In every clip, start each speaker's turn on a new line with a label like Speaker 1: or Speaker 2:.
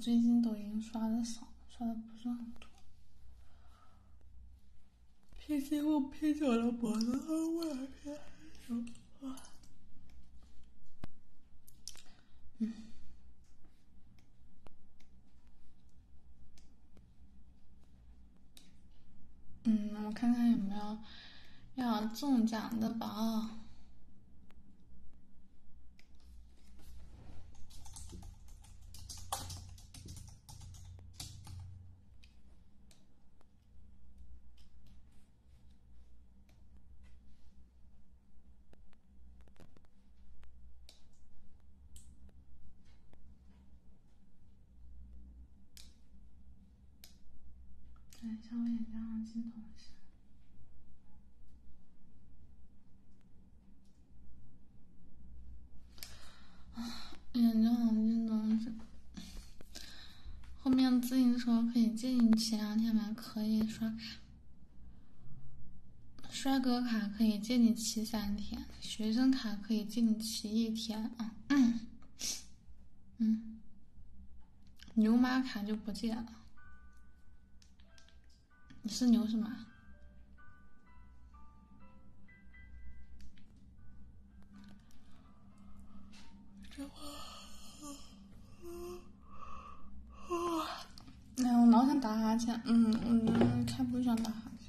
Speaker 1: 最近抖音刷的少，刷的不是很
Speaker 2: 多。P 图 P 了脖子嗯。
Speaker 1: 嗯，我看看有没有要中奖的宝。对，一我眼睛上一下。眼睛上进东西。后面自行车可以借你骑两天吗？可以刷卡。帅哥卡可以借你骑三天，学生卡可以借你骑一天啊。牛马卡就不见了。你是牛是马？这我……哎，我老想打哈欠，嗯嗯，太不想打哈欠。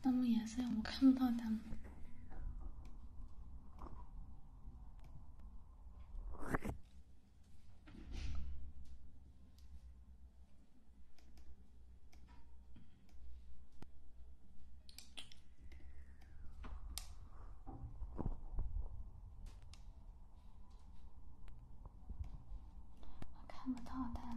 Speaker 1: 淡漠颜色，我看不到他们。看不到他。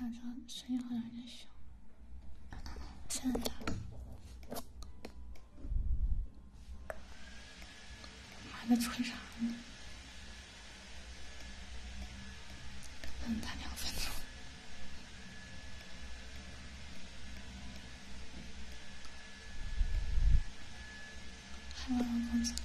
Speaker 1: 晚上声音好像有点小，现在妈在吹啥呢？跟他两分钟，
Speaker 2: 还能聊工资吗？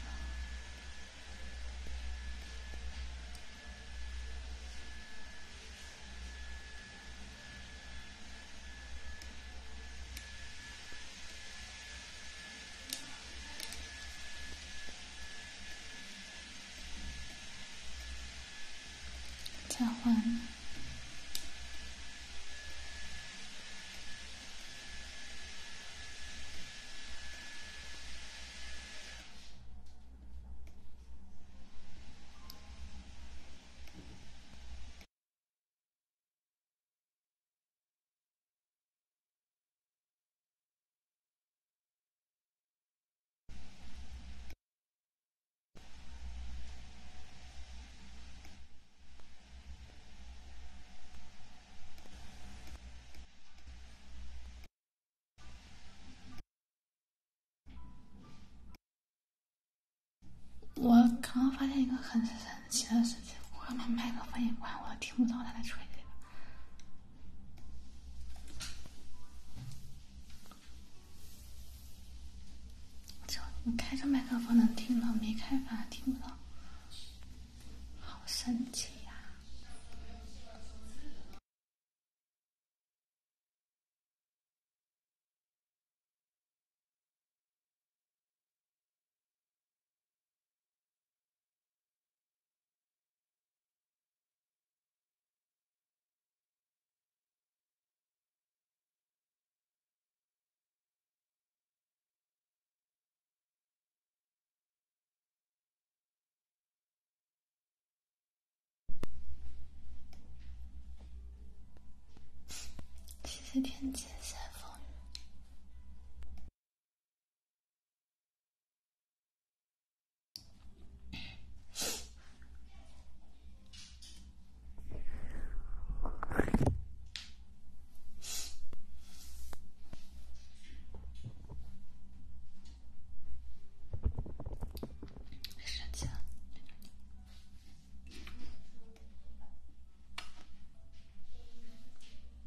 Speaker 2: 交换。
Speaker 1: 我刚刚发现一个很。其他事情，我他妈麦克风也关，我都听不到他在吹这个。开着麦克风能听到，没开反而听不到，好神奇呀！
Speaker 2: 其实天晴也风雨。生气了。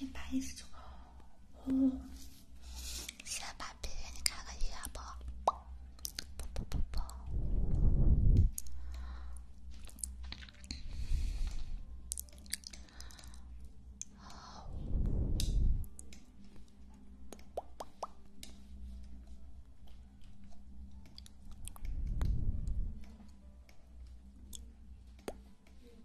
Speaker 1: 一百一十先把币给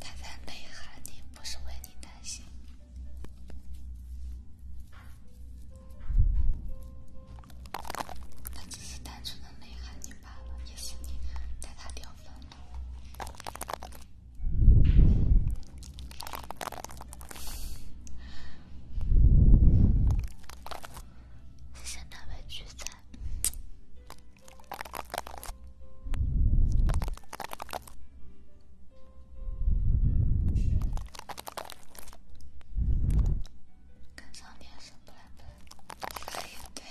Speaker 1: 他在内涵你，不是为你担心。他只是单纯的内涵你罢了，也是你带他掉分。谢谢那位巨仔，跟上面是布莱德，一对。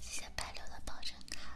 Speaker 1: 谢谢白流的保证卡。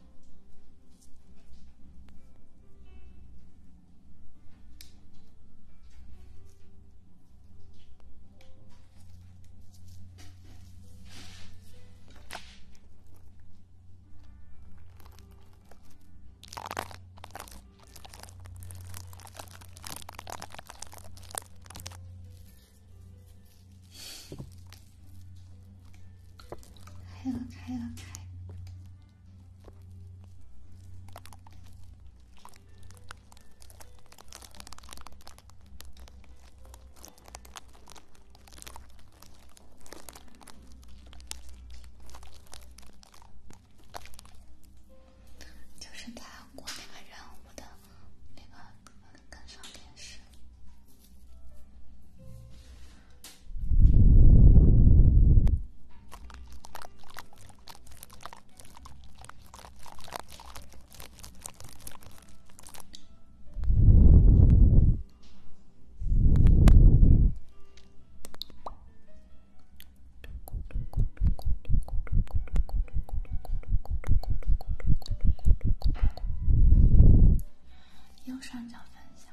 Speaker 1: 开了开了开。就是在过那个任务的那个跟上点时。右上角分享。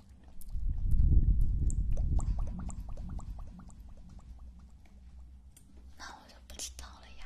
Speaker 1: 那我就不知道了呀。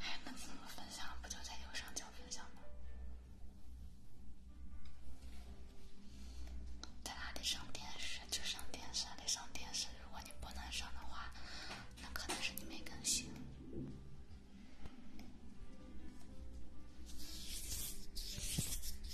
Speaker 1: 哎，那怎么分享？不就在右上角分享吗？在哪里上电视？就上电视，得上电视。如果你不能上的话，那可能是你没更新。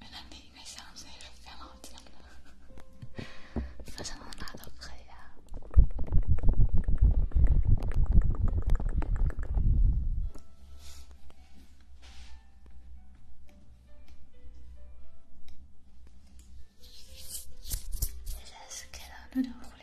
Speaker 1: 原来另一个箱子也是挺好听的，反正哪都可以啊。现在是开了那种互联。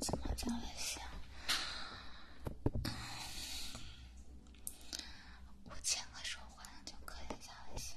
Speaker 1: 什么叫的香？五千个手环就可以加微信。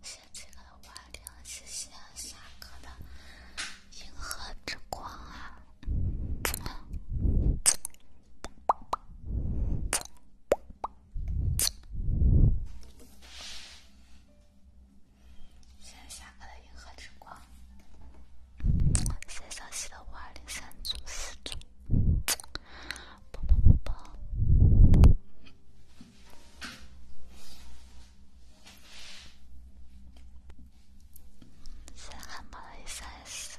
Speaker 1: 谢谢我的瓦里谢谢夏哥的银河之光啊！谢谢夏哥的银河之光，谢谢小西的五二零三组四组，抱抱抱抱。谢谢汉堡的三十四，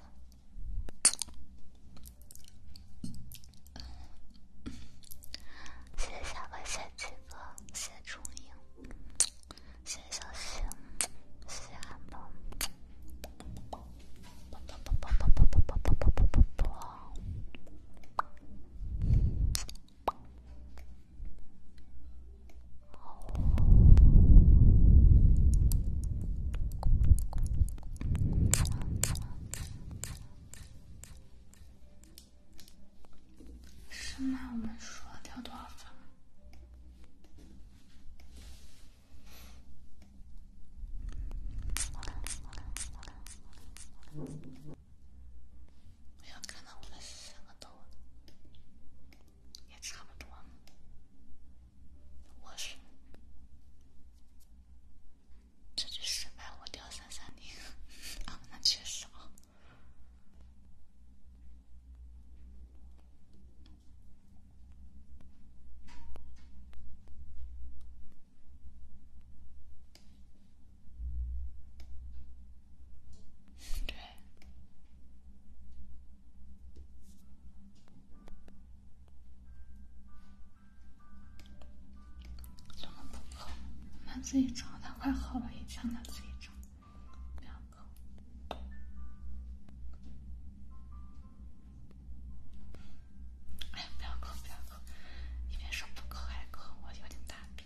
Speaker 1: 谢谢小文，谢谢七哥，谢谢春英，谢谢小西，谢谢汉堡。是吗？我们输了，掉多少分？有可能我们四个都也差不多。我是，这就失败，我掉三三零啊，那确实啊，对。怎么不磕？他自己找的快好了，以前他自己找。不要磕。哎，不要磕，不要磕！一边说不磕还磕，我有点大病。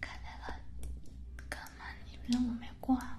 Speaker 1: 看见了，哥们，你认为我没挂？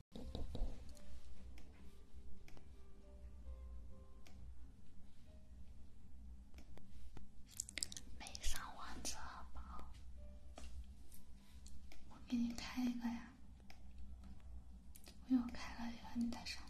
Speaker 1: 没上王者宝，我给你开一个呀，我又开了一个，你再上吧。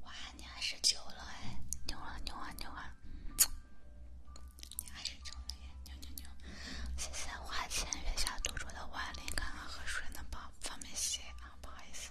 Speaker 1: 我二十九了哎，牛啊牛啊牛啊！你二十九了耶，牛牛牛！谢谢花前月下独酌的万林，刚刚喝水呢，不不方便写啊，不好意思。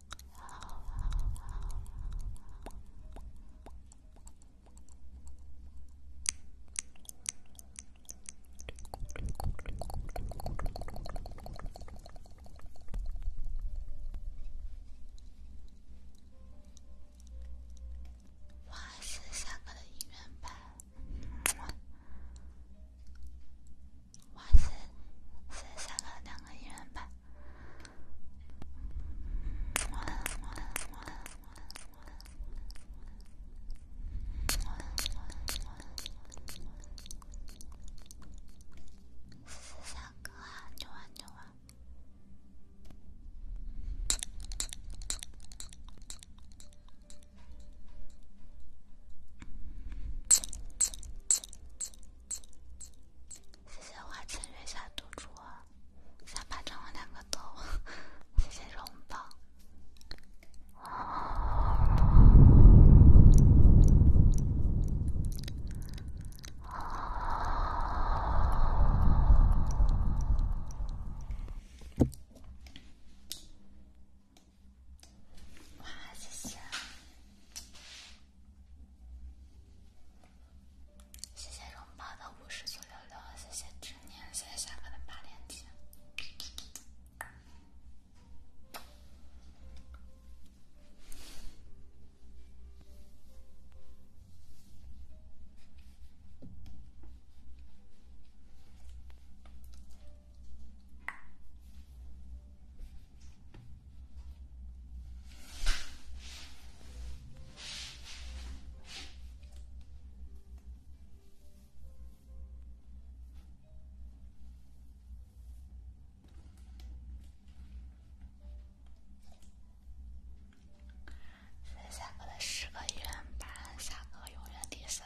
Speaker 1: 哇塞，三个的一人半！哇塞，是三个两个一人半。我了我了我了我了我了我了我了我了，四三哥啊，扭啊扭啊！呲呲呲呲呲呲！呲呲呲呲呲！谢谢花前月下赌注，下巴长了两个痘，谢谢荣宝，哇，谢谢。谢谢荣宝的五十九六六，谢谢执念，谢谢夏哥的八连击。下个的十个医院班，下个永远第三。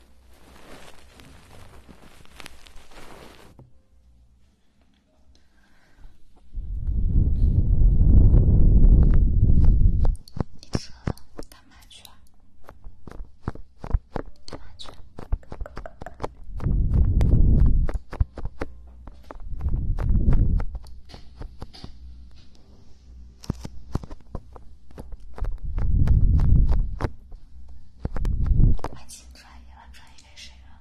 Speaker 1: 你这干嘛去啊？干嘛去？爱情转移了，转移给谁了？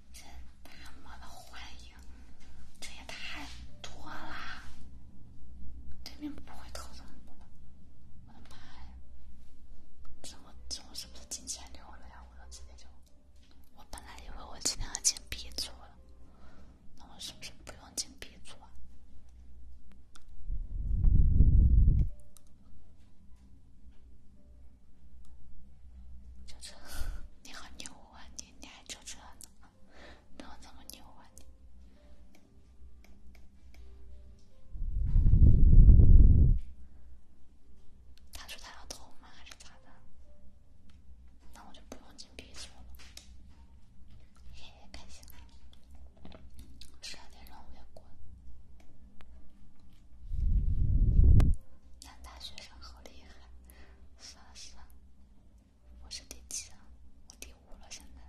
Speaker 1: 这他妈的欢迎，这也太多啦！对面不会偷走吗？我的妈呀！这我这我是不是进前六了呀？我都直接就……我本来以为我今天要进 B 组了，那我是不是不用进 B 组？轿车，你好牛啊！你你还轿车呢？那怎么牛啊？他说他要偷吗？还是咋的？那我就不用进 B 组了，嘿嘿，开心。十二点让我也过。男大学生好厉害，算了算了，我是第七，我第五了，现在。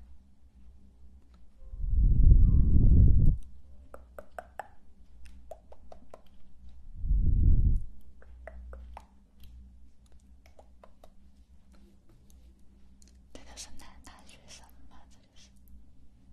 Speaker 2: 真的是男大学生，吗？这的是。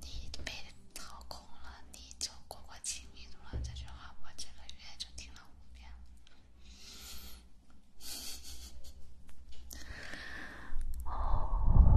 Speaker 1: 你被掏空了，你就过过亲密度了。这句话我这个月就听了五遍。哦，哦。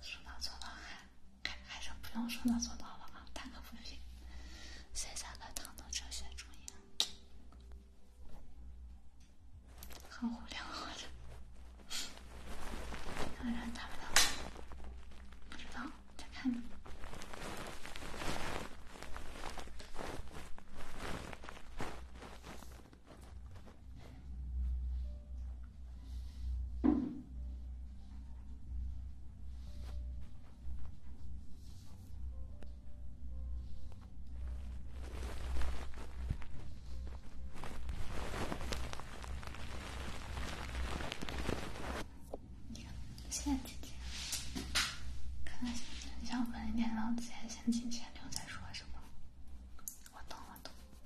Speaker 1: 说到做到还还还是不用说到做到了啊，大可不必。现在在讨论哲学中义，很无聊，好像。当然打不到，不知道，再看你。现在进去，可能想分一点，然后先先进去，留再说什吗？我懂，我懂。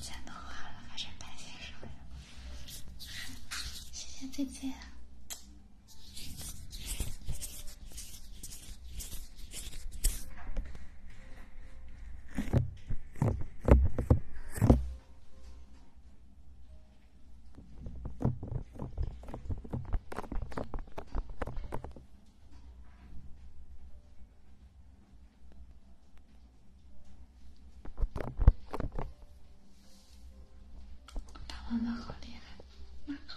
Speaker 1: 钱都花了，还挣百姓什么呀？谢谢姐姐。大王们好厉害！妈靠！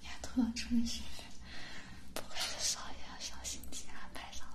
Speaker 1: 你还突然这么兴奋？不会是少爷小心机安排上了？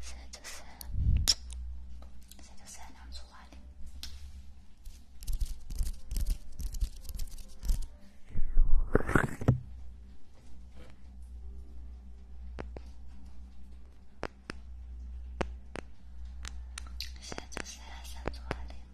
Speaker 1: 现在就是，现在就是两处花林。现在就是两处花林。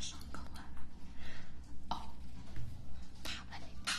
Speaker 1: 上课了。哦，他们那个。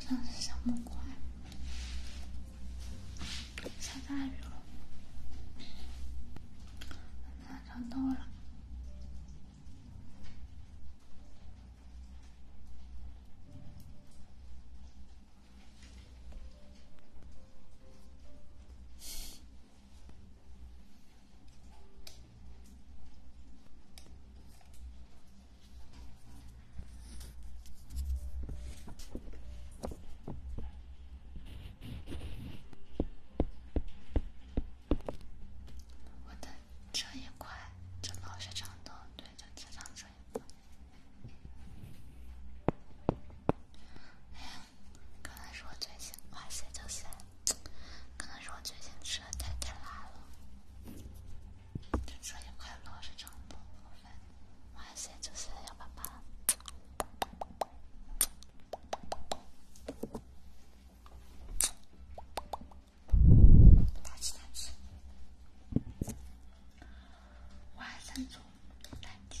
Speaker 1: 手上是小木块，下大雨了，难找到了。我的这一块就老是长痘，对，就经常这一块。哎，刚才是我嘴型，哇塞，就是。可能是我最近吃的太太辣了，吃了一块螺蛳是幺八八，打鸡蛋吃，我还正宗蛋鸡。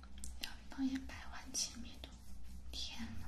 Speaker 1: 要放一百万千米多，天哪！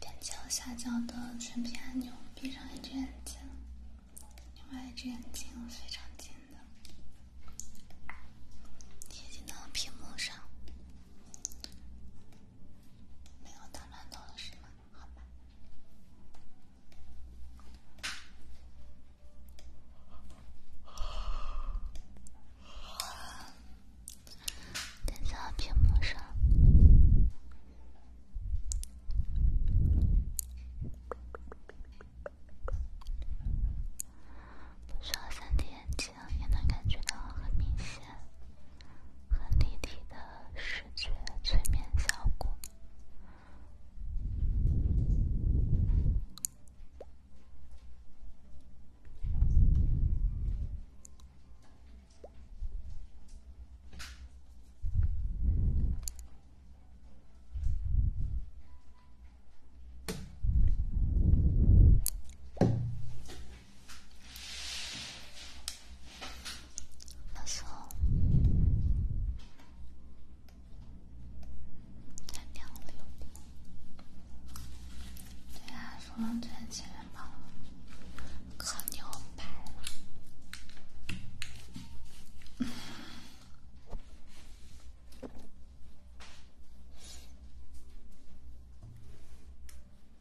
Speaker 1: 点击右下角的全屏按钮，闭上一只眼睛，另外一只眼睛非常近的贴近到屏幕上，没有打乱动了，是吗？好，点在屏幕上。不说三 D 眼镜也能感觉到很明显。很立体的视觉催眠效果。那时候，产量了，对呀，服装店前面跑，可牛掰了。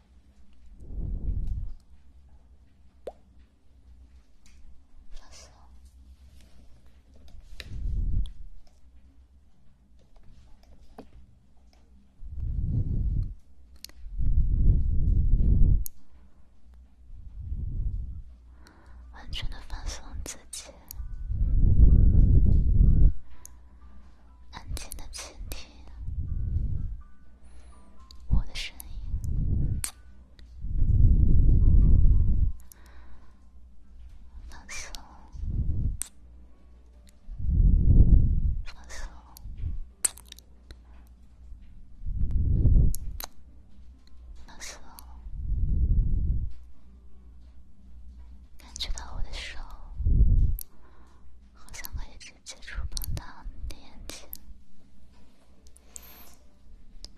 Speaker 1: 放松，完全的放松自己，安静的倾听。我的声音，感觉到我的手好像可以。接触碰到你的眼睛，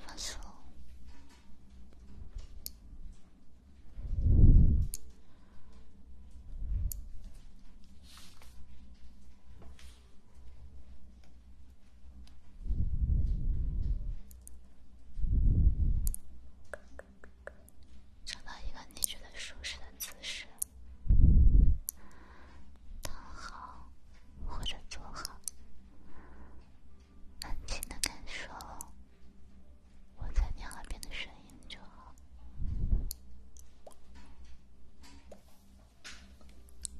Speaker 1: 放松，找到一个你觉得舒适的姿势。躺好或者坐好，安静的感受我在你耳边的声音就好，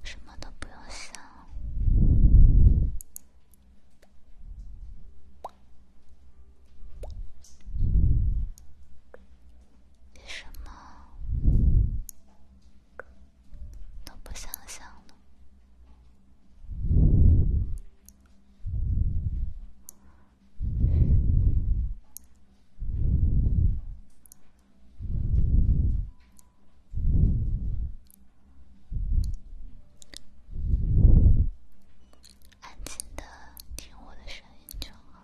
Speaker 1: 什么都不用想，别什么。都不想想安静的听我的声音就好。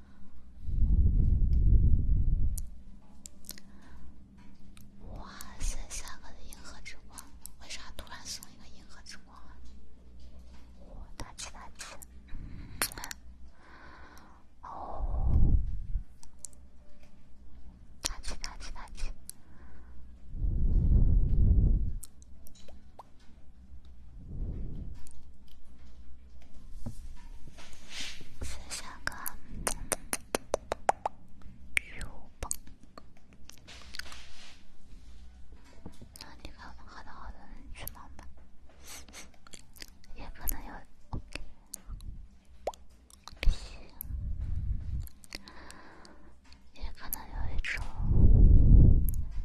Speaker 1: 哇塞！下个是银河之光，为啥突然送一个银河之光啊？哇，大气大气！哦，大气大气大气！思想感，有吧？那你看，好的好的，那你去忙吧。也可能有，也可能有一种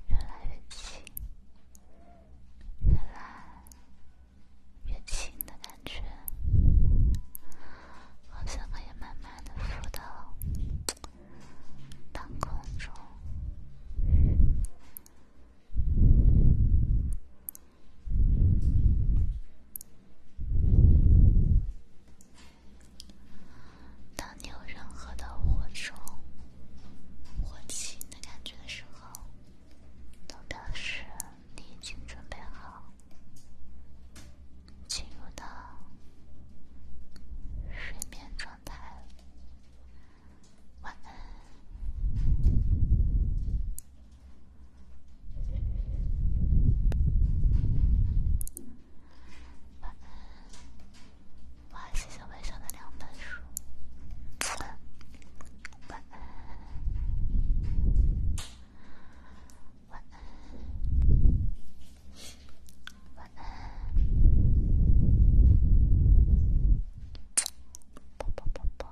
Speaker 1: 越来越近，越来。越轻的感觉，好像可以慢慢的浮到半空中。当你有任何的火虫、火气的感觉的时候，真的是。你已经准备好进入到睡眠状态晚安，晚安，晚谢谢微笑的两本书，晚安。晚安，晚安，啵啵啵啵，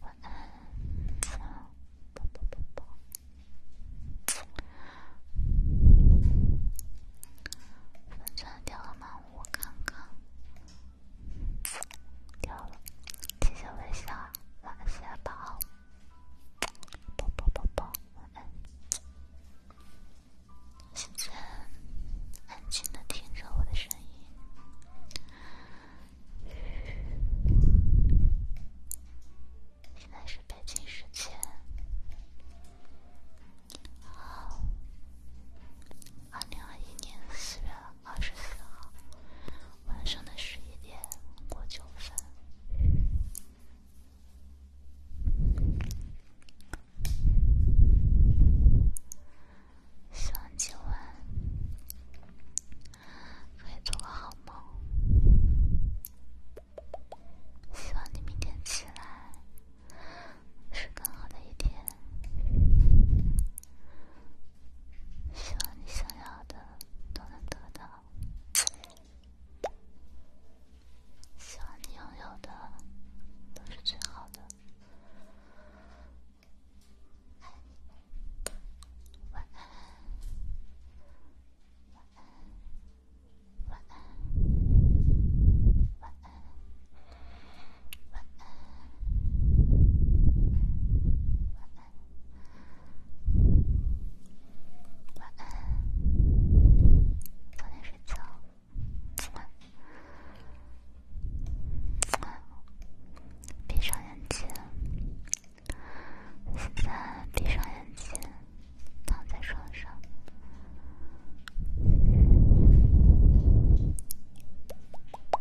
Speaker 1: 晚安，啵啵啵啵，粉钻掉了吗？我看看。掉了，谢谢我的小晚安小宝，啵啵啵啵，晚安。现在安静的听着我的声音，现在是北京时间。好。二零二一年四月二十号晚上的十一点过九分，双击完可以做个好梦。希望你明天起来是更好的一天。希望你想要的都能得到，希望你拥有的都是最好的。晚安，晚安，晚安，晚安。晚安，晚安，晚安。早点睡觉，晚安，晚安。闭上眼睛，现在闭上眼睛，躺在床上。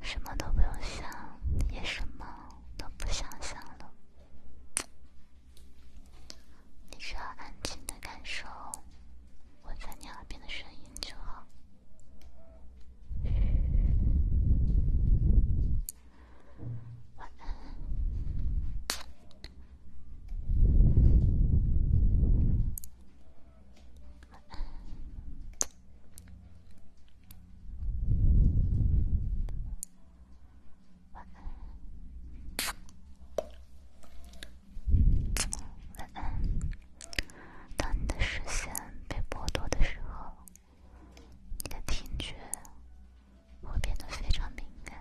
Speaker 1: 什么都不用想，也什么都不想想了。你只要安静的感受，我在你耳边的声音就好。晚安。
Speaker 2: 晚安。当你的视线被剥夺的时候，你的听觉会变得非常敏感，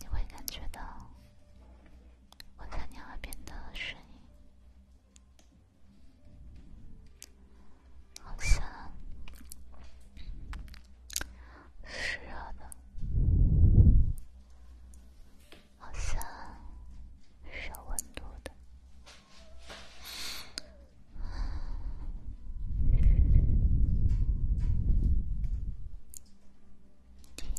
Speaker 2: 你会感觉到我在你耳边的声音。好像，是热的。好像，是温度的。定。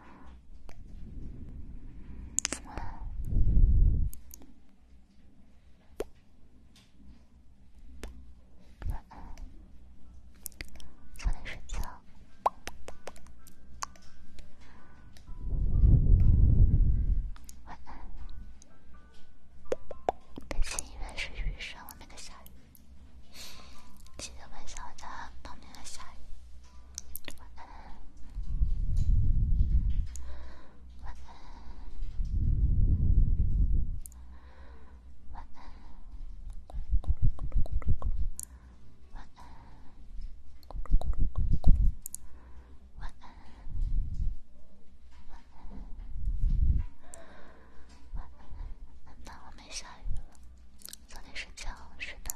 Speaker 2: 晚安，早点睡觉。晚安。北京应该是雨上了，那个下雨。记得微笑，在旁边的下雨。晚安，睡觉，睡吧。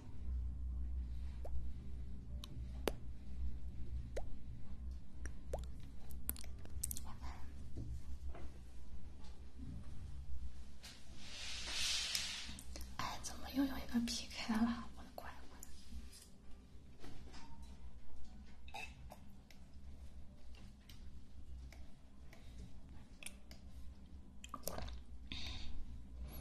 Speaker 2: 哎，怎么又有一个 P K 了？
Speaker 1: 我的乖乖！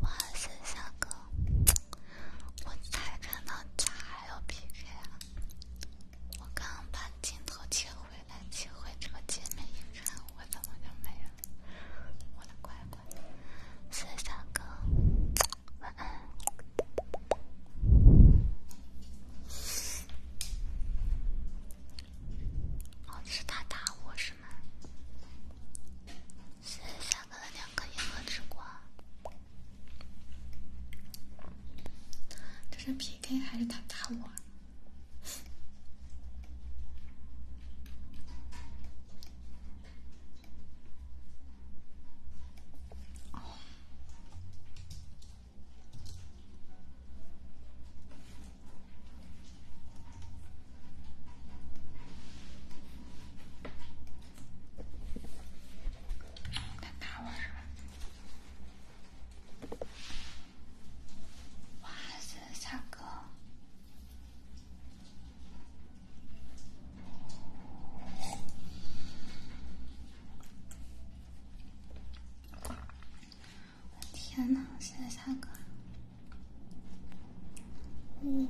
Speaker 1: 晚上，小哥，我才看到家还有 PK 啊！我刚把镜头切回来，切回这个界面一看，我怎么就没了？我的乖乖，小哥，晚安。哦，是他打我是吗？谢谢夏哥的两颗银河之光。这是 PK 还是他打我？哦。他打我是吧？哇，是唱歌。天哪！现在三个，五，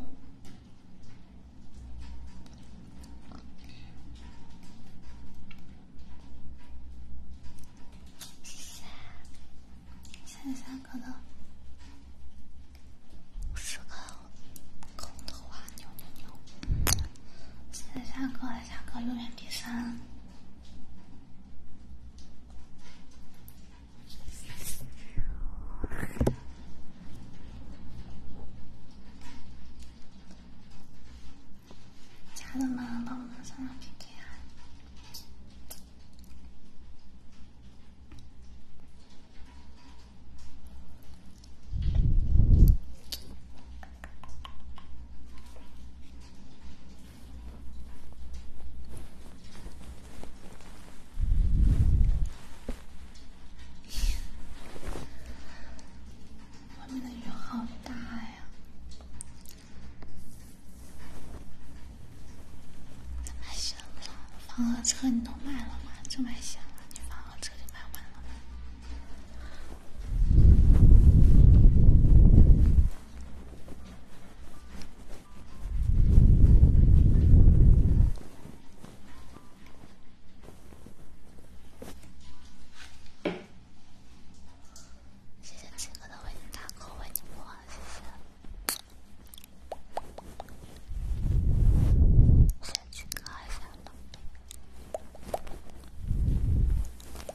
Speaker 1: 谢谢！现在三个
Speaker 2: 了，个空投啊！牛牛牛！现在下课了，下课，永远第三。
Speaker 1: 咱们要多么亲密呀！外面的雨好大呀！房和车你都卖了吗？这还行吗？你房和车就卖不了吗？谢谢七哥的为你打 call，为你播，谢谢。谢谢七哥，谢谢。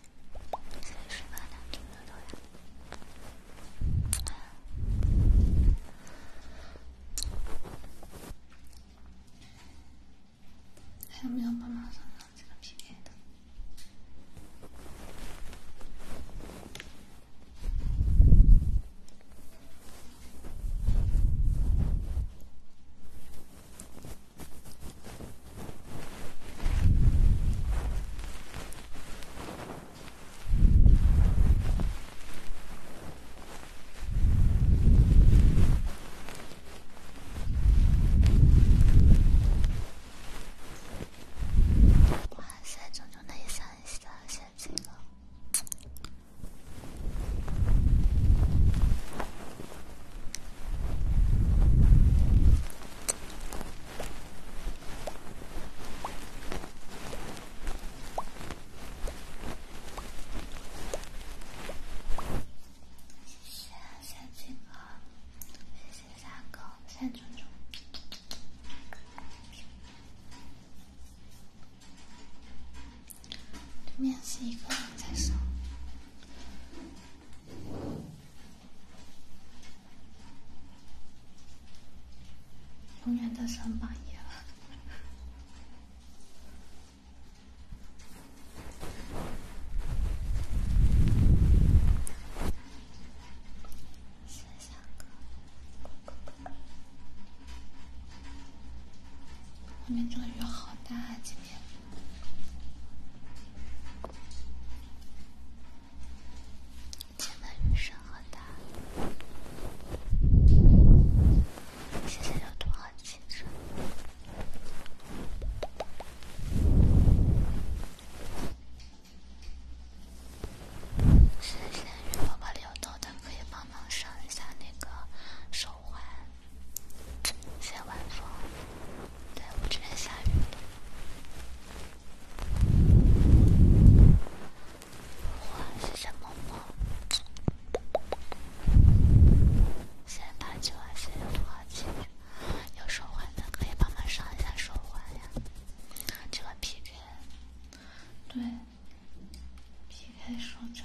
Speaker 2: 还有没有办法删掉这个 PPT 的？哇塞，炯炯的一双眼睛了。谢谢三七哥，谢谢三哥，谢谢猪猪。
Speaker 1: 对面是一个人在上，永远的三八一了。外面这个雨好大啊，今天。今天的雨声很大，现在流动很清澈。今天的雨宝宝流动的可以帮忙上一下那个手环，谢谢晚风。对，我这边下雨了。哇，是什么吗？先把
Speaker 2: 今晚先拖起，有说话的可以帮忙说一下说话呀。今晚 PK，对，PK 双战。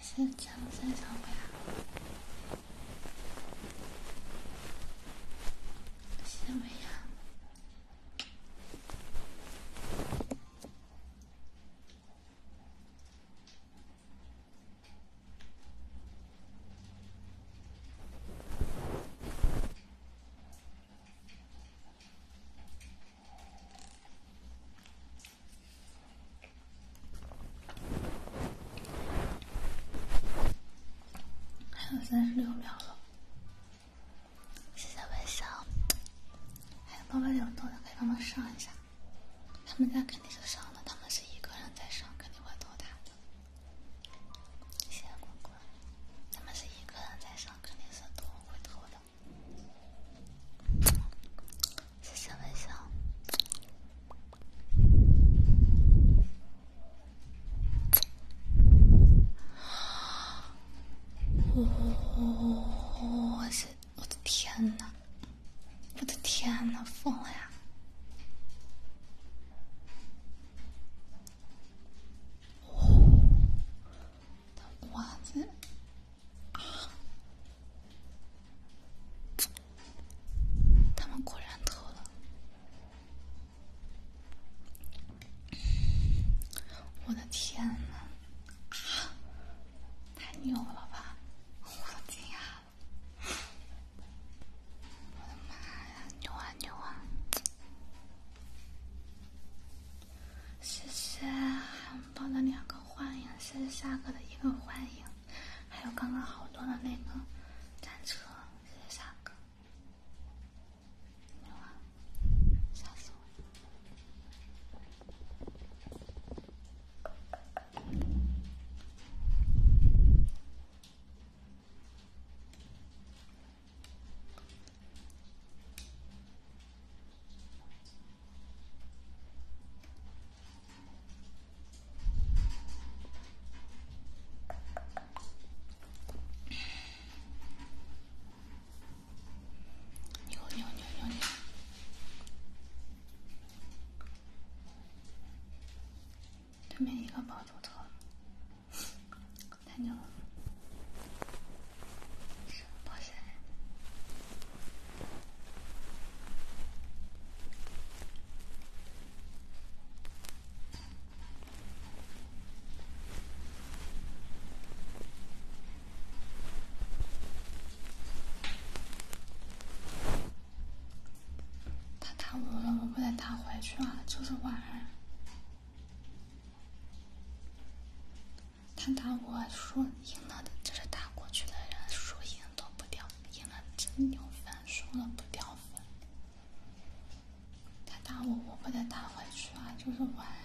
Speaker 1: 是长什么样？什么样？还有三十六秒了，谢谢微笑。还有八百两多的可以帮忙上一下，他们家肯定是上了，他们是一个人在上，肯定会投他的。谢谢滚滚，他们是一个人在上，肯定是偷会投的。谢是什么？哇塞！我的天呐，我的天呐，疯了呀！哇塞！他们果然偷了！我的天哪，太牛了吧！我都惊讶了，我的妈呀，牛啊牛啊！谢谢，我们爆两个欢迎，谢谢夏哥的一个欢迎。还有刚刚好多的那个战车，谢谢夏哥。没有啊，吓死我！牛牛牛牛牛！对面一个包就脱了，太牛了！保险。他打我了，我不得打回去啊！就是玩。他打我输赢了，的，就是打过去的人输赢都不掉。赢了真有粉，输了不掉粉。他打我，我不得打回去啊！就是玩啊。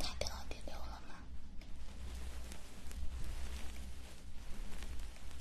Speaker 1: 他掉第六了吗？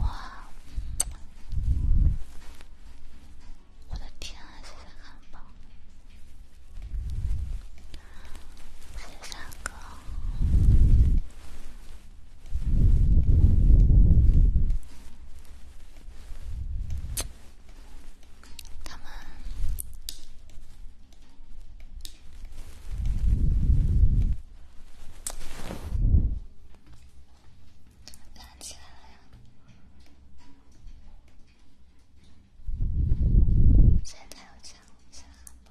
Speaker 1: 哇！我的天，这些汉堡，这三个，他们。亮起来了呀！现在要抢一下吗？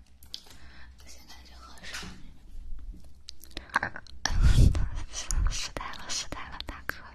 Speaker 1: 我现在就喝水。失态了，失态了，太渴了。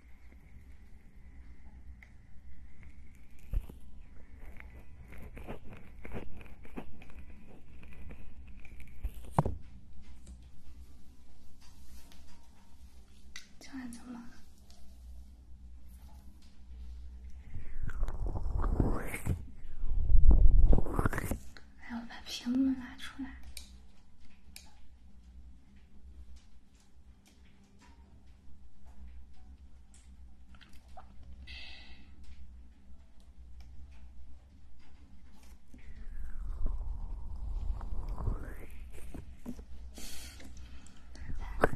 Speaker 1: 进来怎么哎，我把屏幕拿出来。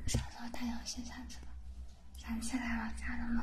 Speaker 1: 啥时候太阳先下山？想起来我家的猫。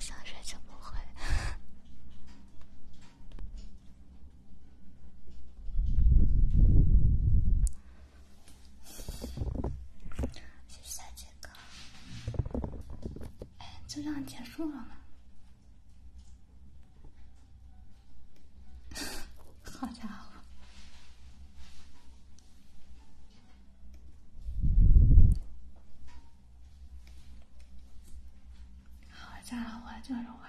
Speaker 1: 下水就不会。是下一个，哎，就这样结束了吗？好家伙！好家伙，就是坏。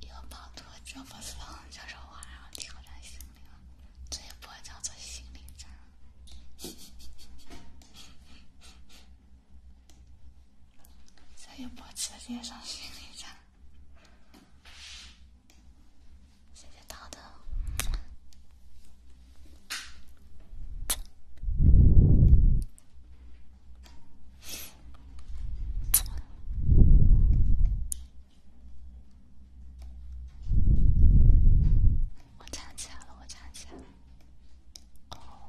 Speaker 1: 有暴徒，这不是就是玩儿挑战心理这一波叫做心理战，这一波直接上心理战。谢谢涛的。我站起来了，我站起来了。哦。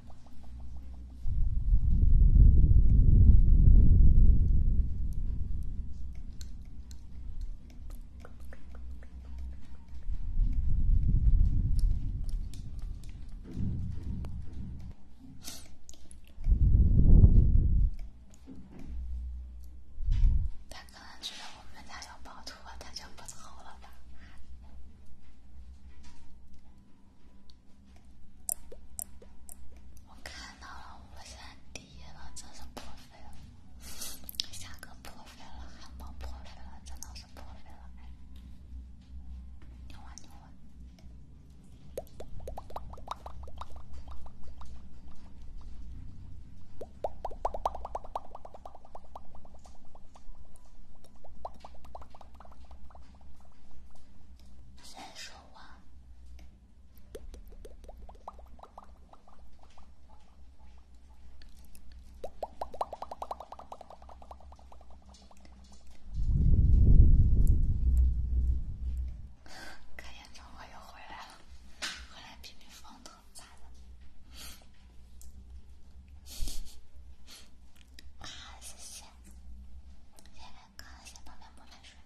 Speaker 1: 他可能觉得我们家有宝图，他就不偷了吧。我看到了，我现在第一了，真是破费了，下个破费了，汉堡破费了，真的是破费了，哎，牛丸牛丸。再说我，看杨爽我又回来了，回来批评方特哥，小宝贝不能睡。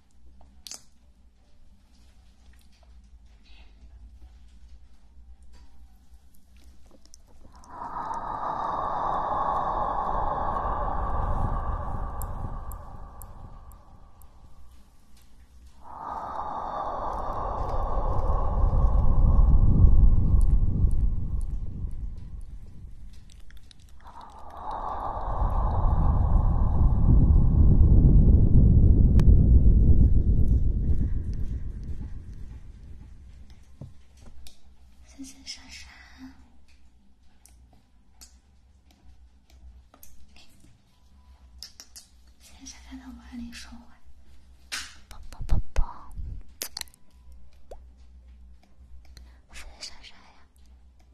Speaker 1: 谢谢莎莎，谢谢莎莎的万零双环，啵啵啵啵，谢谢莎莎呀。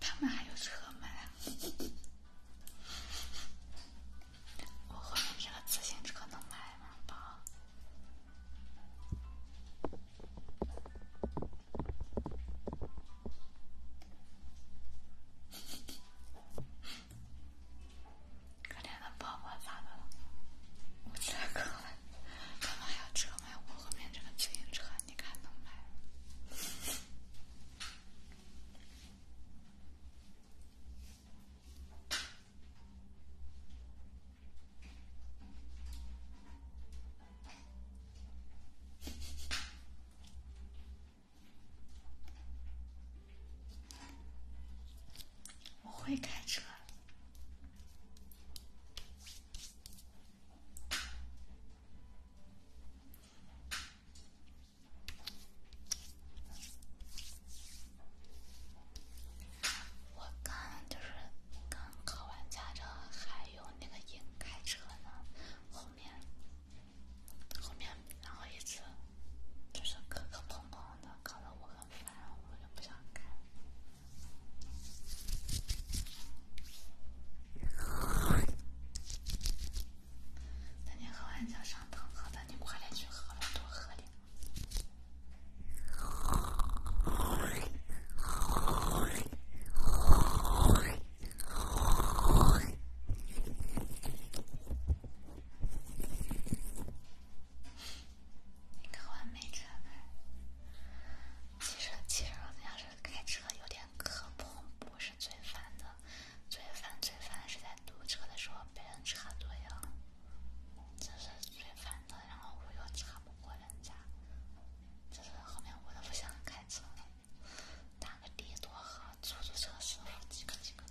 Speaker 1: 他们还有车买？我换你的自行车能买吗，宝？可怜的宝宝咋的了？
Speaker 2: 我天哥，干嘛
Speaker 1: 要车卖？我后面这个自行车，你看能卖？我会开车。我刚就是。刚考完驾照，还有那个英开车呢，后面，后面然后一次，就是磕磕碰碰的，搞得我很烦，我就不想开。那你喝完就上床，好的，你快点去喝了，多喝点。一个完美车呗。其实，其实你要是开车有点磕碰，不是最烦的。最烦、最烦是在堵车的时候被人插队了，这是最烦的。然后我又插不过人家。就是后面我都不想开车了，打个的多好，出租车师傅几个几个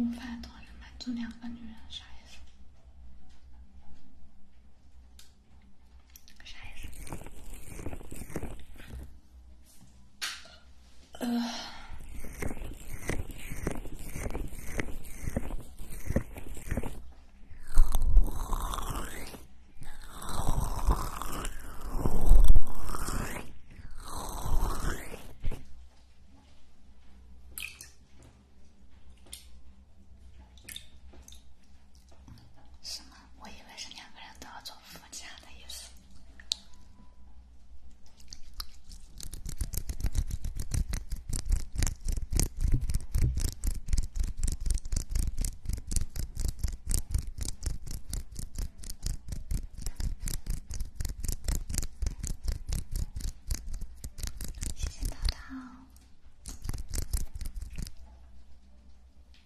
Speaker 1: 午饭桌上坐两个女人，啥意思？啥意思？呃。是吗？我以为是两个人都要做。附加的意思。谢谢涛涛。问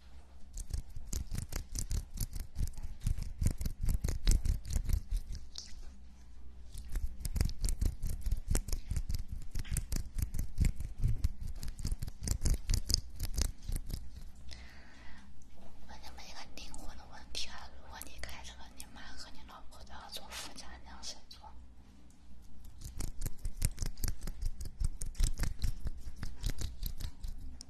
Speaker 1: 你们一个灵魂的问题：如果你开车，你妈和你老婆都要坐副驾，那要谁坐？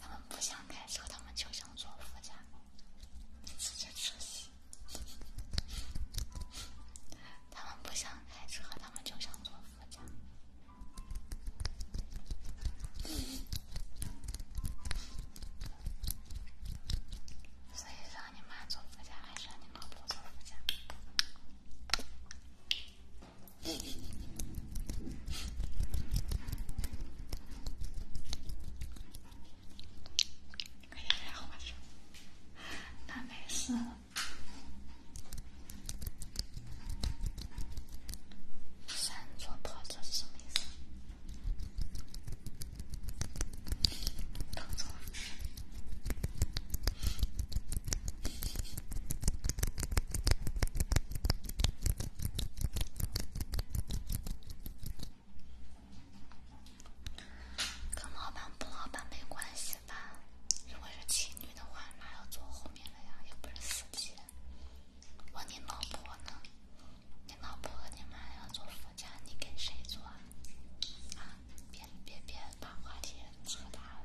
Speaker 1: 他们不想开车，他们就想坐副驾。你直接出去。他们不想开车，他们就想坐副驾。所以让你妈坐副驾，还是让你老婆坐副驾？快点灭火去！那没事。
Speaker 2: 三座破车是什么意思？偷走。
Speaker 1: 跟老板不老板没关系吧？如果是情侣的话，那要坐后面的呀，又不是司机。问你老婆呢？你老婆和你妈要坐副驾，你跟谁坐啊？啊，别别别，把话题扯大了。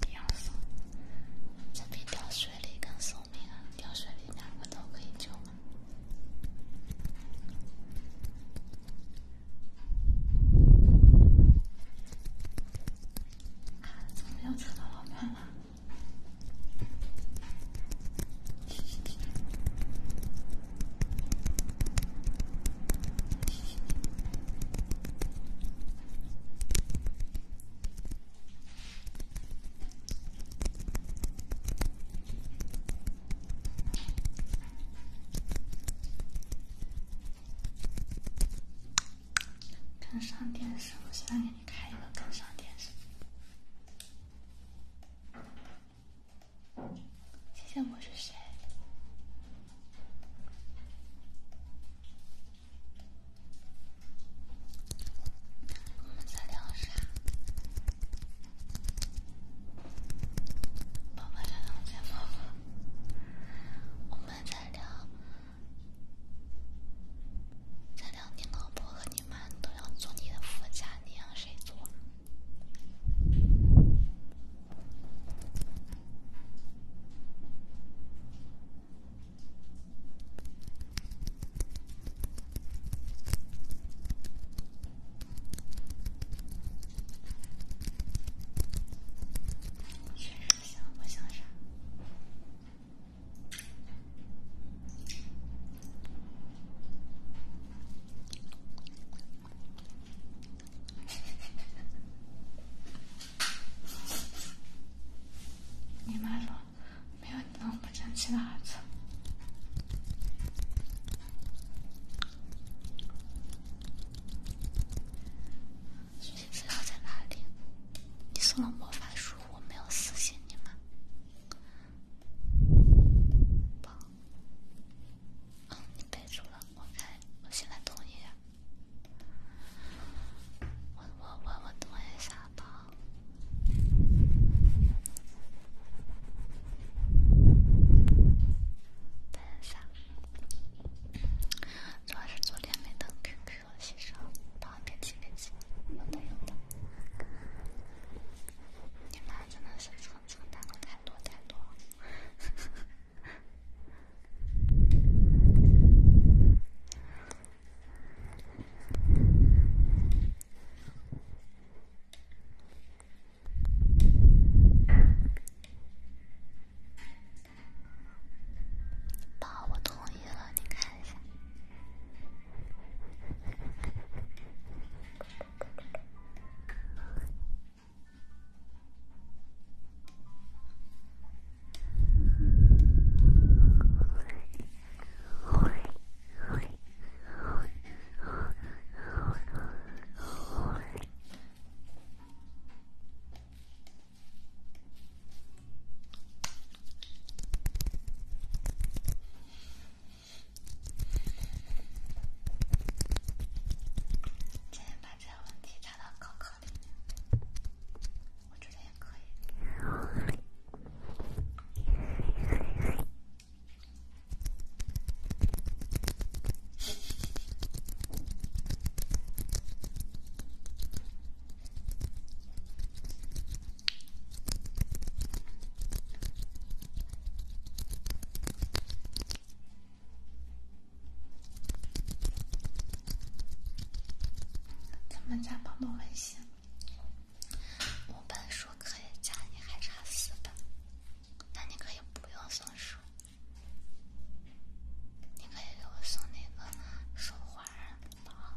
Speaker 1: 掉速，这比掉血力更送命啊！掉血力两个都可以救吗？啊，怎么又扯到老远了？跟上电视，我现在给你开一个跟上电视。谢谢，我是谁？我们在聊啥？爸爸叫你老婆。我们在聊，在聊你老婆和你妈都要做你的副驾，你让谁坐？你妈说。没有你那么不争气的孩子。学资料在哪里？你送了魔法书，我没有私信你吗？棒。嗯，你备注了，我看，我现在同意。我我我我等一下吧。等啥？主要是昨天没登 QQ 了，先生。爸，别急，别急，有的有的。你妈真的是存存单了太多太多。哈哈。爸，我同意了，你看一下。今天把这个问题加到高考里面。我觉得也可以。咱们再抱抱温馨。五本书可以加，你还差四本，那你可以不用送书，你可以给我送那个手环，好不好？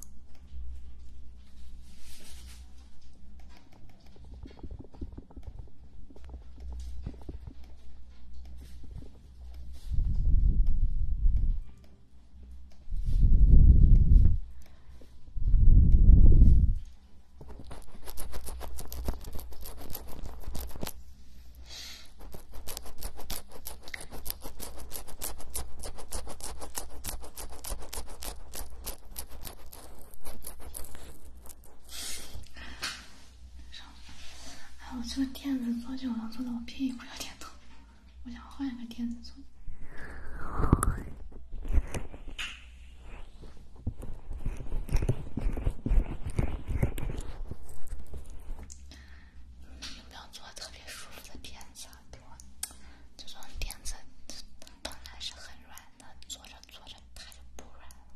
Speaker 1: 哎，我这个垫子坐久了，坐的我屁股有点疼。我想换一个垫子坐。不要坐特别舒服的垫子，坐这种垫子本来是很软的，坐着坐着它就不软了。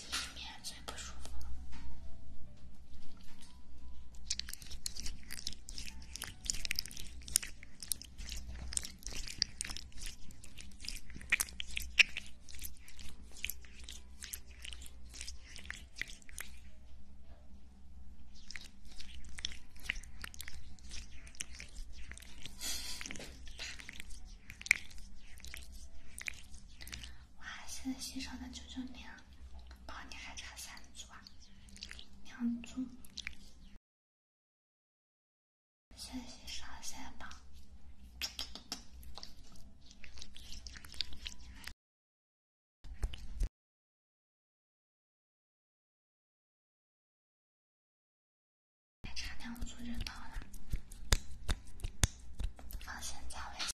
Speaker 1: 里面最不舒服哇，现在洗手的九九年。宝，你还差三组啊，
Speaker 2: 两组，先去上三宝，还差两组就到了，放心，再会。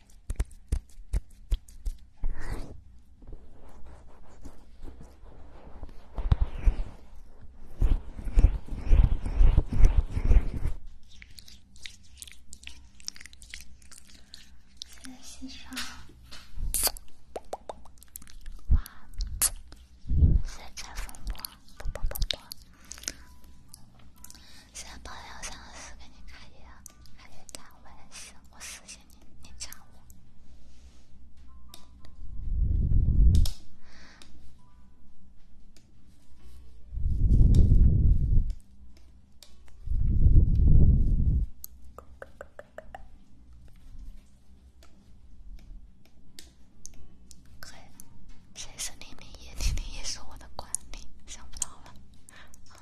Speaker 2: 在欣赏花色彩风光，啵啵啵啵。现在报幺三四给你开一个，开一个加微信，我私信你，你加我。可以。谁是零零一？零零一是我的管理，想不到了。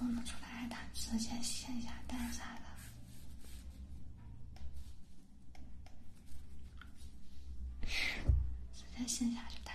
Speaker 2: 弄不出
Speaker 1: 来，他直接线下带啥的，直接线下就带。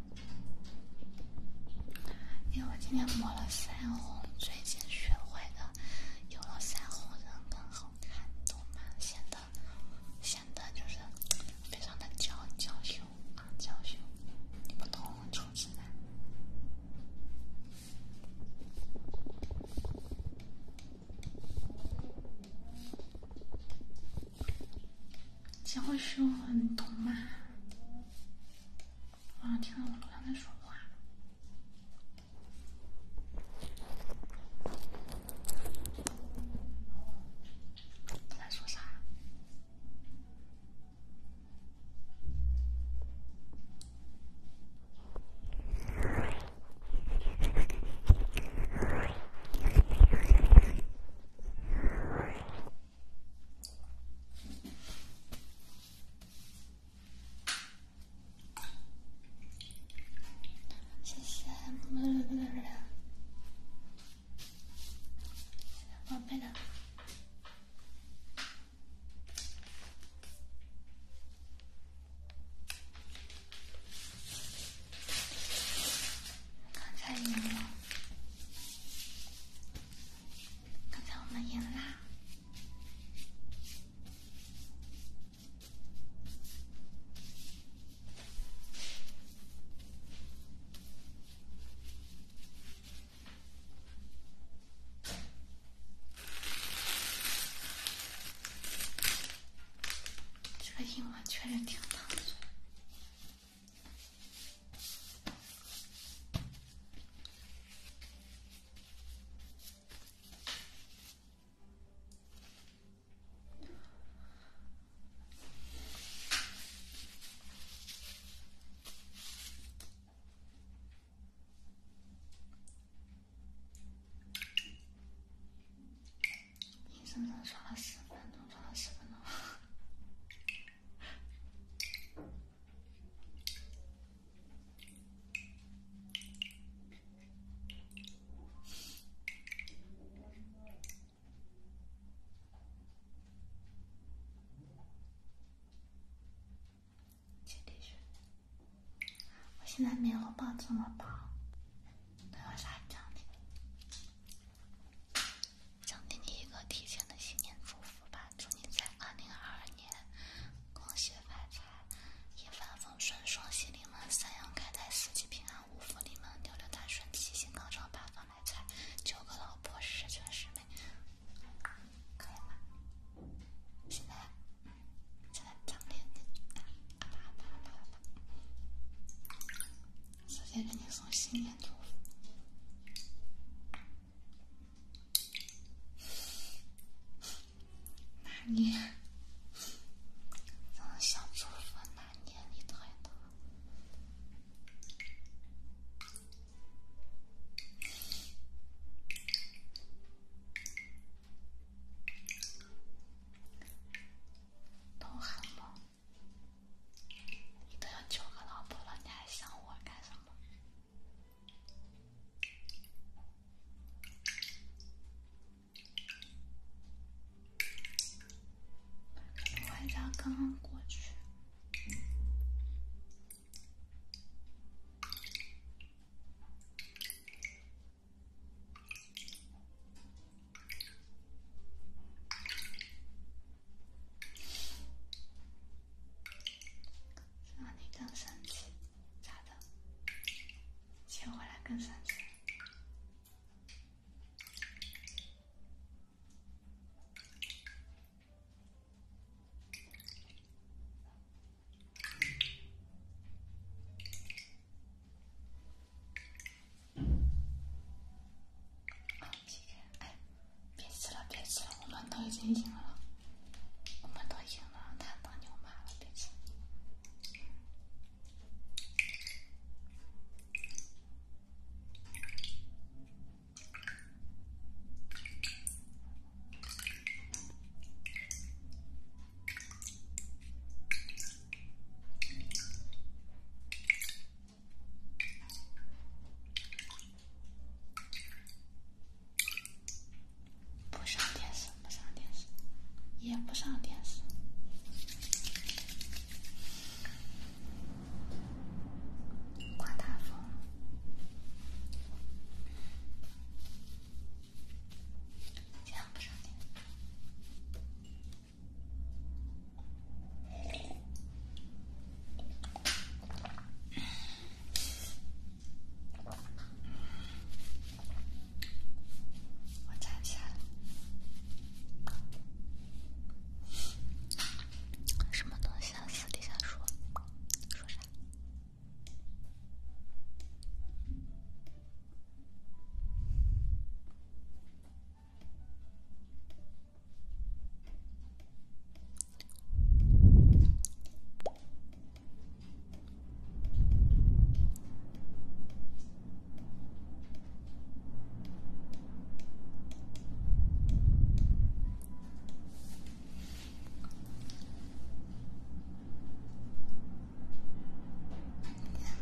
Speaker 1: 因为我今天抹了腮红，最近学会的，有了腮红人更好看，懂吗？显得显得就是非常的娇娇羞啊，娇羞，你不懂，丑死了。娇羞很懂吗？我好像听到我楼上在说话，他在说啥？谢谢木木木木的宝贝的，太牛了！刚才我们赢啦！这个英文确实挺难的。你能不能刷了十分钟？刷了十分钟？真的是，我现在没有抱这么饱，都有啥奖励？想给你一个提前的新年祝福吧，祝你在2022年，恭喜发财，一帆风顺，双喜临门，三羊开泰，四季平安，五福临门，六六大顺，七星高照，八方来财，九个老婆十全十美，可以吗？现在，现在张脸，你。直接给你送新年祝福，拿捏！想祝福拿捏你太多，都喊了。你都有九个老婆了，你还想我干什么？玩家刚刚过去。让你更生气，咋的？接回来更生气。别吃了，别吃了，我们都已经赢了，我们都赢了，他当牛马了，别吃。不上电视，不上电视，也不上电视。刮大风，
Speaker 2: 这样不上电视。我站起来。什么东西啊？私底下说，说啥？今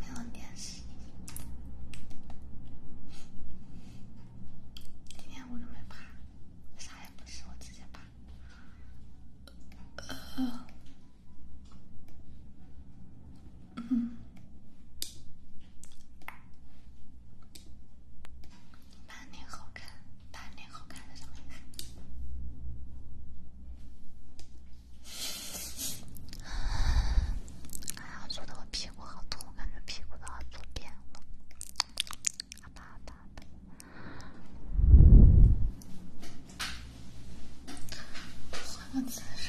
Speaker 2: 天没有电视。今天我都没爬。啥也不是，我直接把。嗯。满脸好看，满脸好看的什么意思？哎呀，坐的我屁股好痛，我感觉屁股都好坐扁了。好的好的，换个姿势。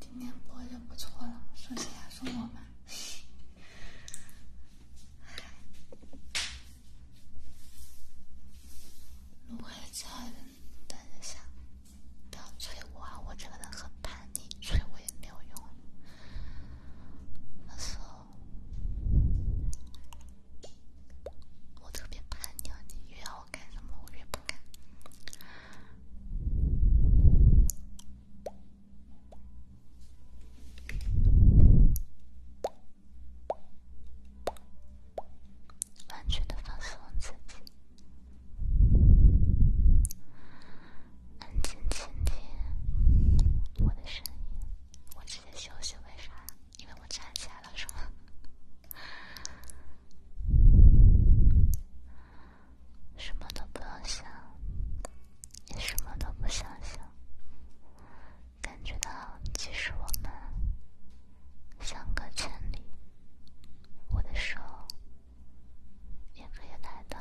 Speaker 1: 今天播就不错了，剩下是我嘛？录回家了，等一下，不要催我啊！我这个人很叛逆，催我也没有用。那时候。我特别叛逆，你越要我干什么，我越不干。完全的放松自己，安静倾听我的声音。我直接休息，为啥？因为我站起来了，是吗？什么都不要想，也什么都不想想，感觉到即使我们相隔千里，我的手也可以来到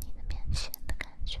Speaker 1: 你的面前的感觉。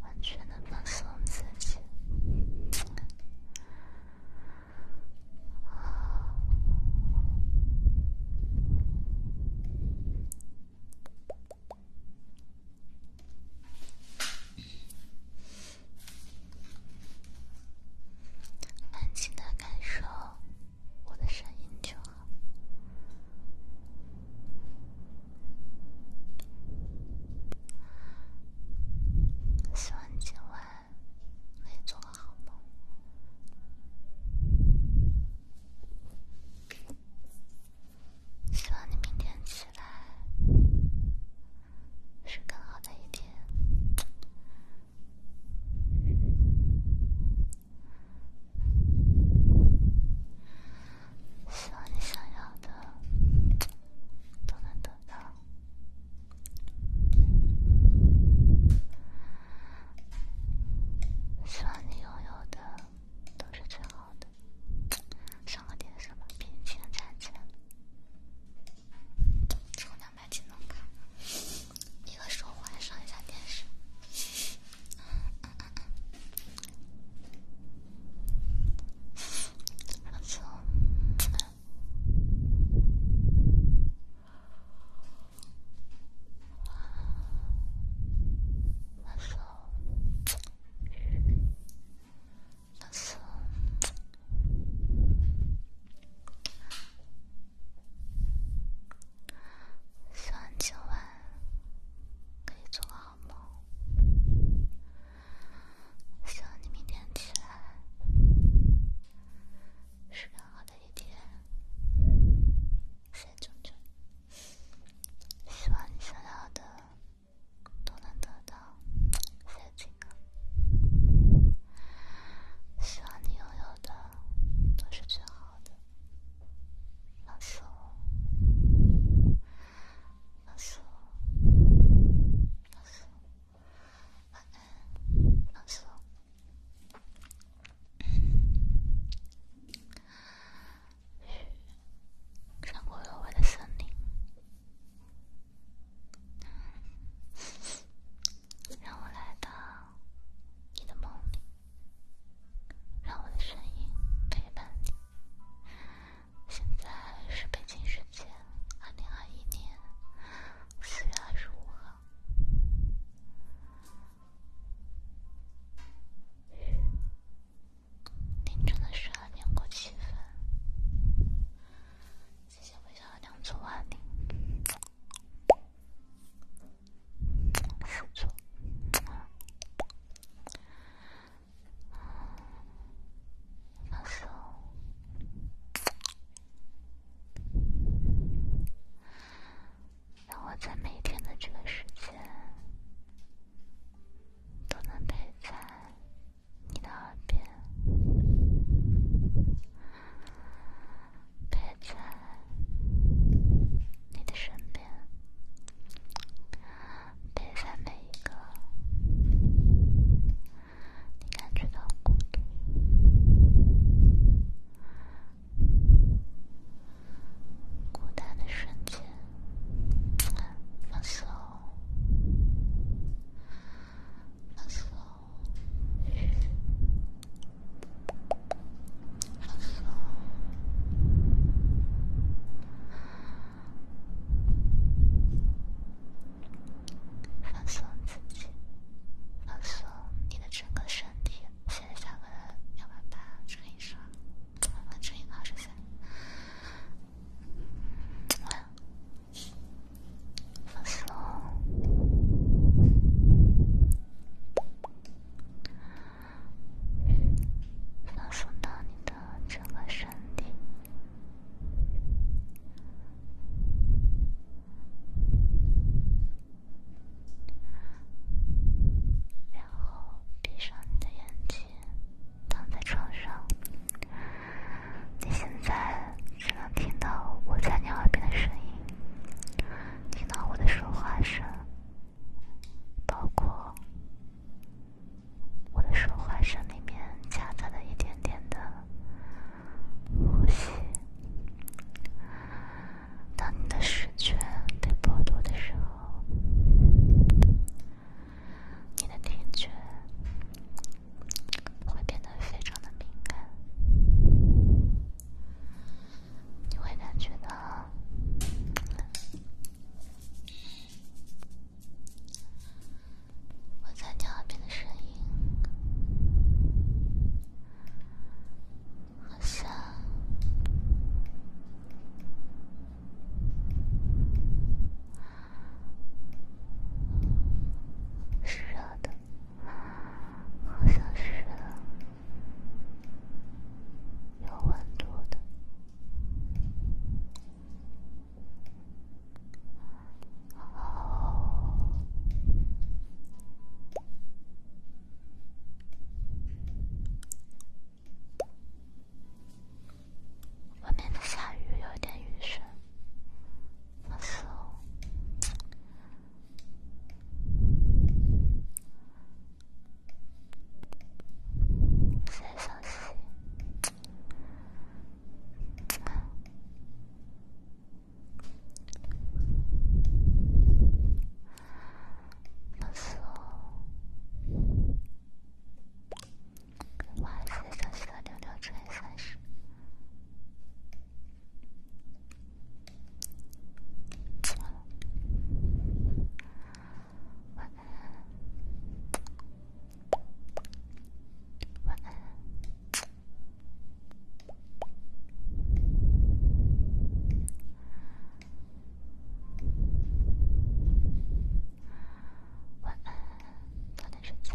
Speaker 1: 完全的放松自己，安静的感受我的声音就好。希望今晚可以做个好梦。希望你明天起来是更好的一天。希望你想要的都能得到，希望你拥有的都是最好的。上个电视吧，冰清战舰，抽两百技能卡，一个手环，上一下电视。放希望今晚可以做好。好梦，希望你明天起来是更好的一天。谢谢钟钟，希望你想要的都能得到。谢谢金刚，希望你拥有的都是最好的。晚安。放松，放松，慢慢，放松。让我来到你的梦里，让我的声音陪伴你。现在是北京时间二零二一年四月二十五号，凌晨的十二点过七分。谢谢微笑的两处瓦砾，错。把手，让我在每天的这个时间都能陪在你的耳边，陪在你的身边。陪在每一个你感觉到孤独、孤单的瞬间，放松，放松自己，放松你的整个身体。现在下播了，幺八八乘以十二，乘以二十三，发送到你的整个身体，然后闭上你的眼睛，躺在床上。你现在只能听到我在你耳边的声音，听到我的说话声。包括我的说话声里面夹杂的一点点的呼吸。当你的视觉被剥夺的时候，你的听觉会变得非常的敏感，你会感觉到。我在你耳边的声音，好像，是热的，好像是有温度的。外面在下雨，有点雨声。放松，六四，哇塞！江西的六六乘以三十，错了。晚安，晚安，晚安，早点睡觉。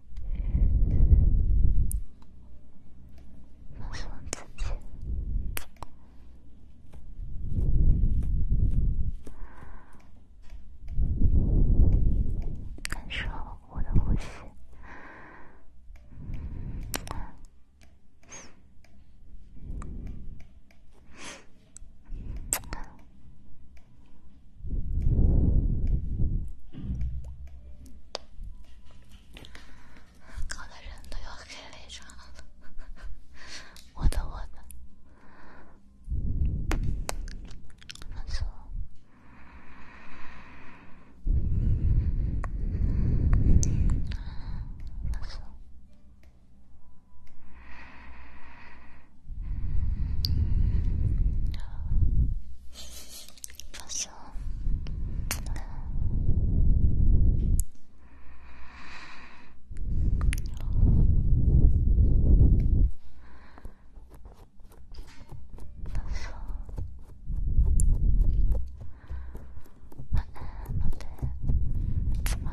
Speaker 1: 放松自己，感受我的呼吸。搞得人都要黑脸唱了，我的我的，没错，没错。放松。放松。慢慢，慢慢。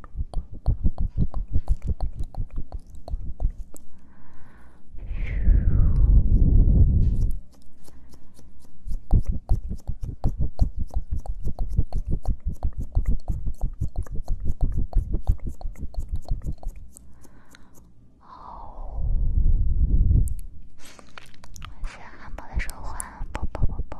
Speaker 1: 哦，是汉堡的召唤，抱抱抱抱。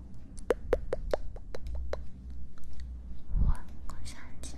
Speaker 1: 我，我想一下。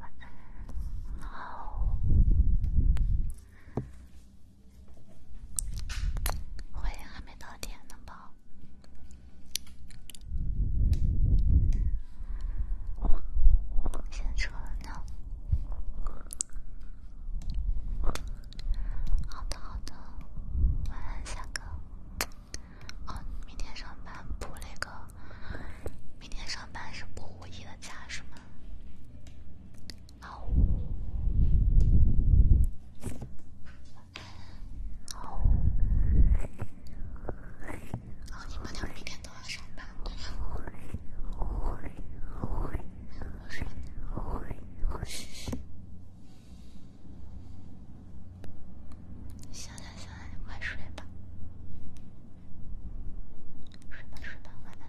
Speaker 1: 晚安，好，好像还没到点呢吧？先撤了，好的好的，晚安，下哥。哦，明天上班补那个，明天上班是补五一的假是吗？好，好，好，你们俩明天都要上班。行行行了，你快睡吧，睡吧睡吧，晚安。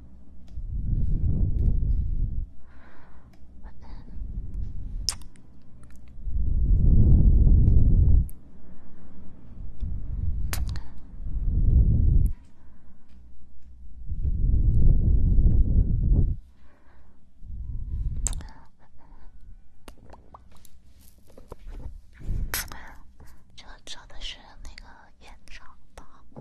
Speaker 1: 这找的是那个院长吧？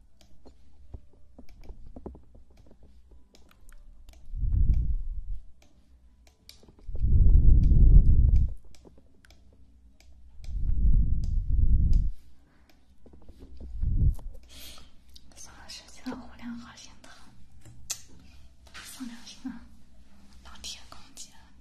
Speaker 1: 这段时间流量好心疼，放良心啊！老天公接了你。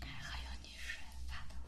Speaker 1: 还还有你说发的。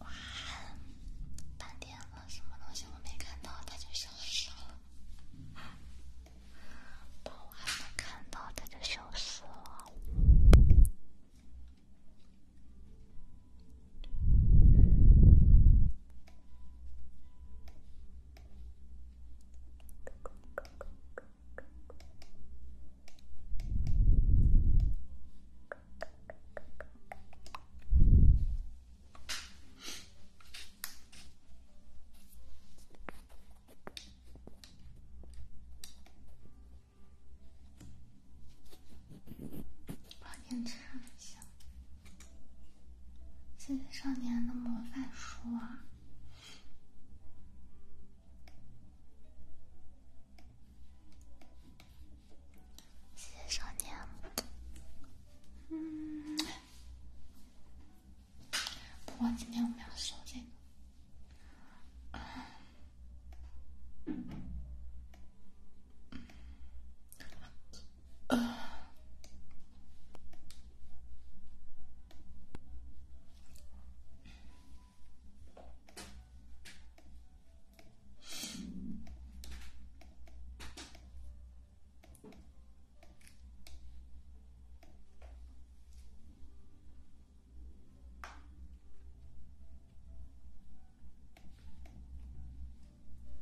Speaker 1: 哇，半点了，什么东西我没看到，它就消失了。我还没看到，它就消失了。帮您唱一下《谢谢少年的模范书》。谢谢少年。嗯，不过今天我们要说这个。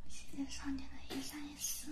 Speaker 1: 谢谢少年的一三一四。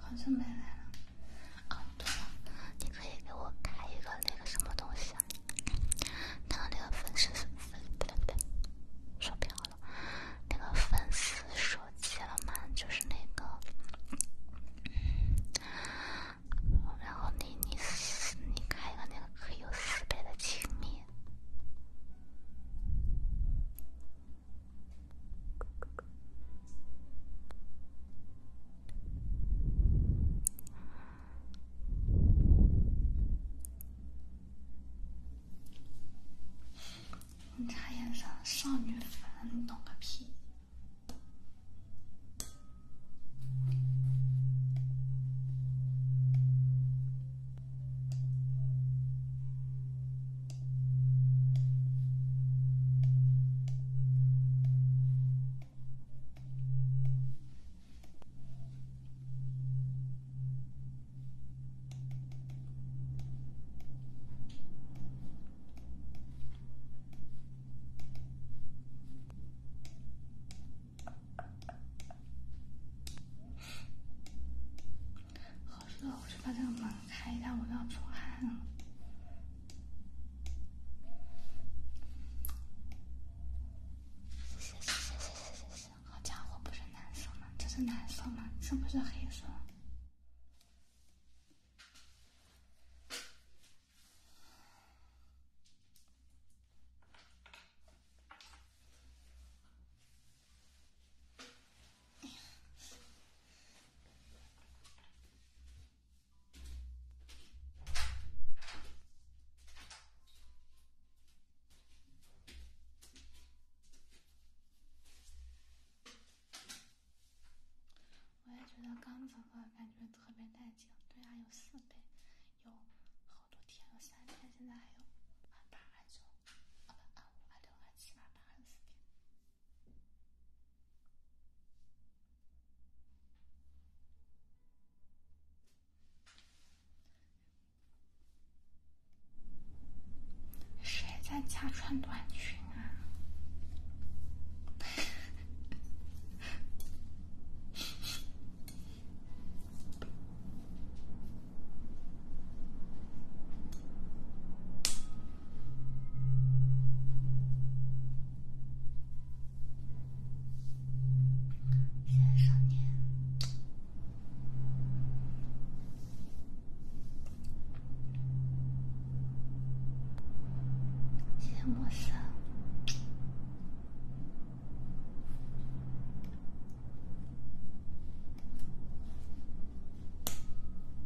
Speaker 1: 好像没来了。哦，对了，你可以给我开一个那个什么东西？啊？他那个粉丝粉不对不对，说偏了。那个粉丝说机了吗？就是那个，然后你你你开一个那个可以有四倍的亲密。你查颜色，少女粉，你懂个屁！好热，我去把这个门。看一下，我都要出汗了。谢谢谢谢谢谢谢好家伙，不是蓝色吗？这是蓝色吗？是不是黑色？我也觉得刚子的感觉特别带劲。对啊，有四倍，有好多天有三天，现在还有二八、二九，啊不，二五、六、二七、八、二十四天。谁在家穿短裙啊？
Speaker 2: 谢谢少年，谢谢莫桑。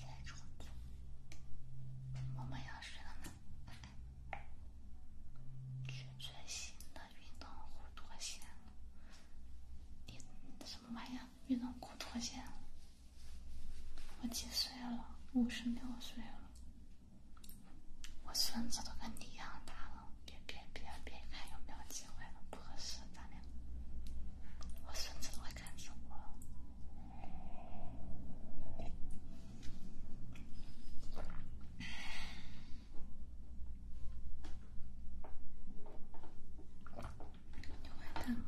Speaker 2: 在床边，我们要睡了吗？最新
Speaker 1: 的运动裤脱线你什么玩运动裤脱线我几岁了？五十六岁了。我孙子都跟你一样大了，别别别别看有没有机会了，不合适，咱俩。我孙子都会看死我。牛坏蛋了。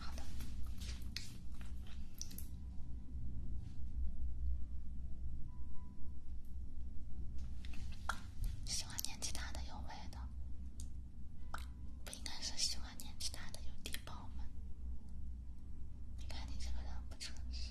Speaker 1: 好的。喜欢年纪大的有味的，不应该是喜欢年纪大的有低保吗？你看你这个人
Speaker 2: 不诚实。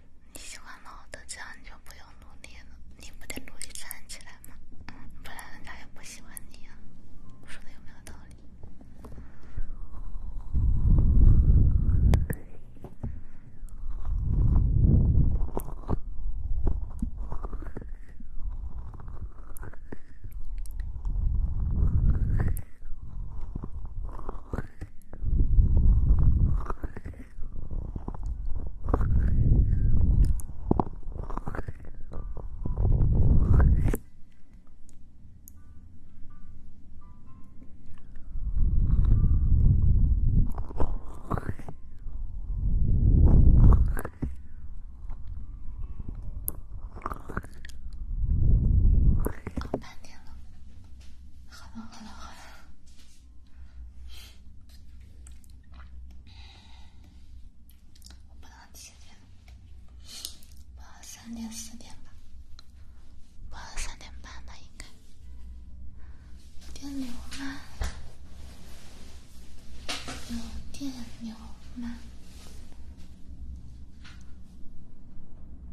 Speaker 2: 你喜欢老的，这样你就不用努力了。你不得努力站起来吗？不然人家也不喜欢你呀。我说的有没有道理？
Speaker 1: 好半天了，好了好了好了。我不能几点？不能三点、四点吧？不能三点半吧？应该？电流吗？有电流吗？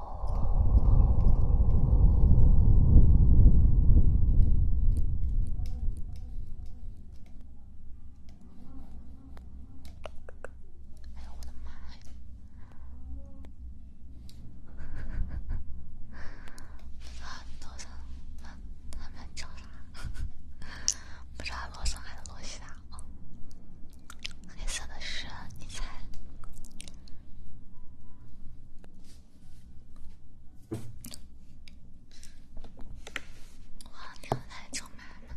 Speaker 1: 哎呀，我的妈呀！罗森，他他们叫啥？不知道罗森还是罗西达？黑色的是你猜？我要牛奶，中妈妈。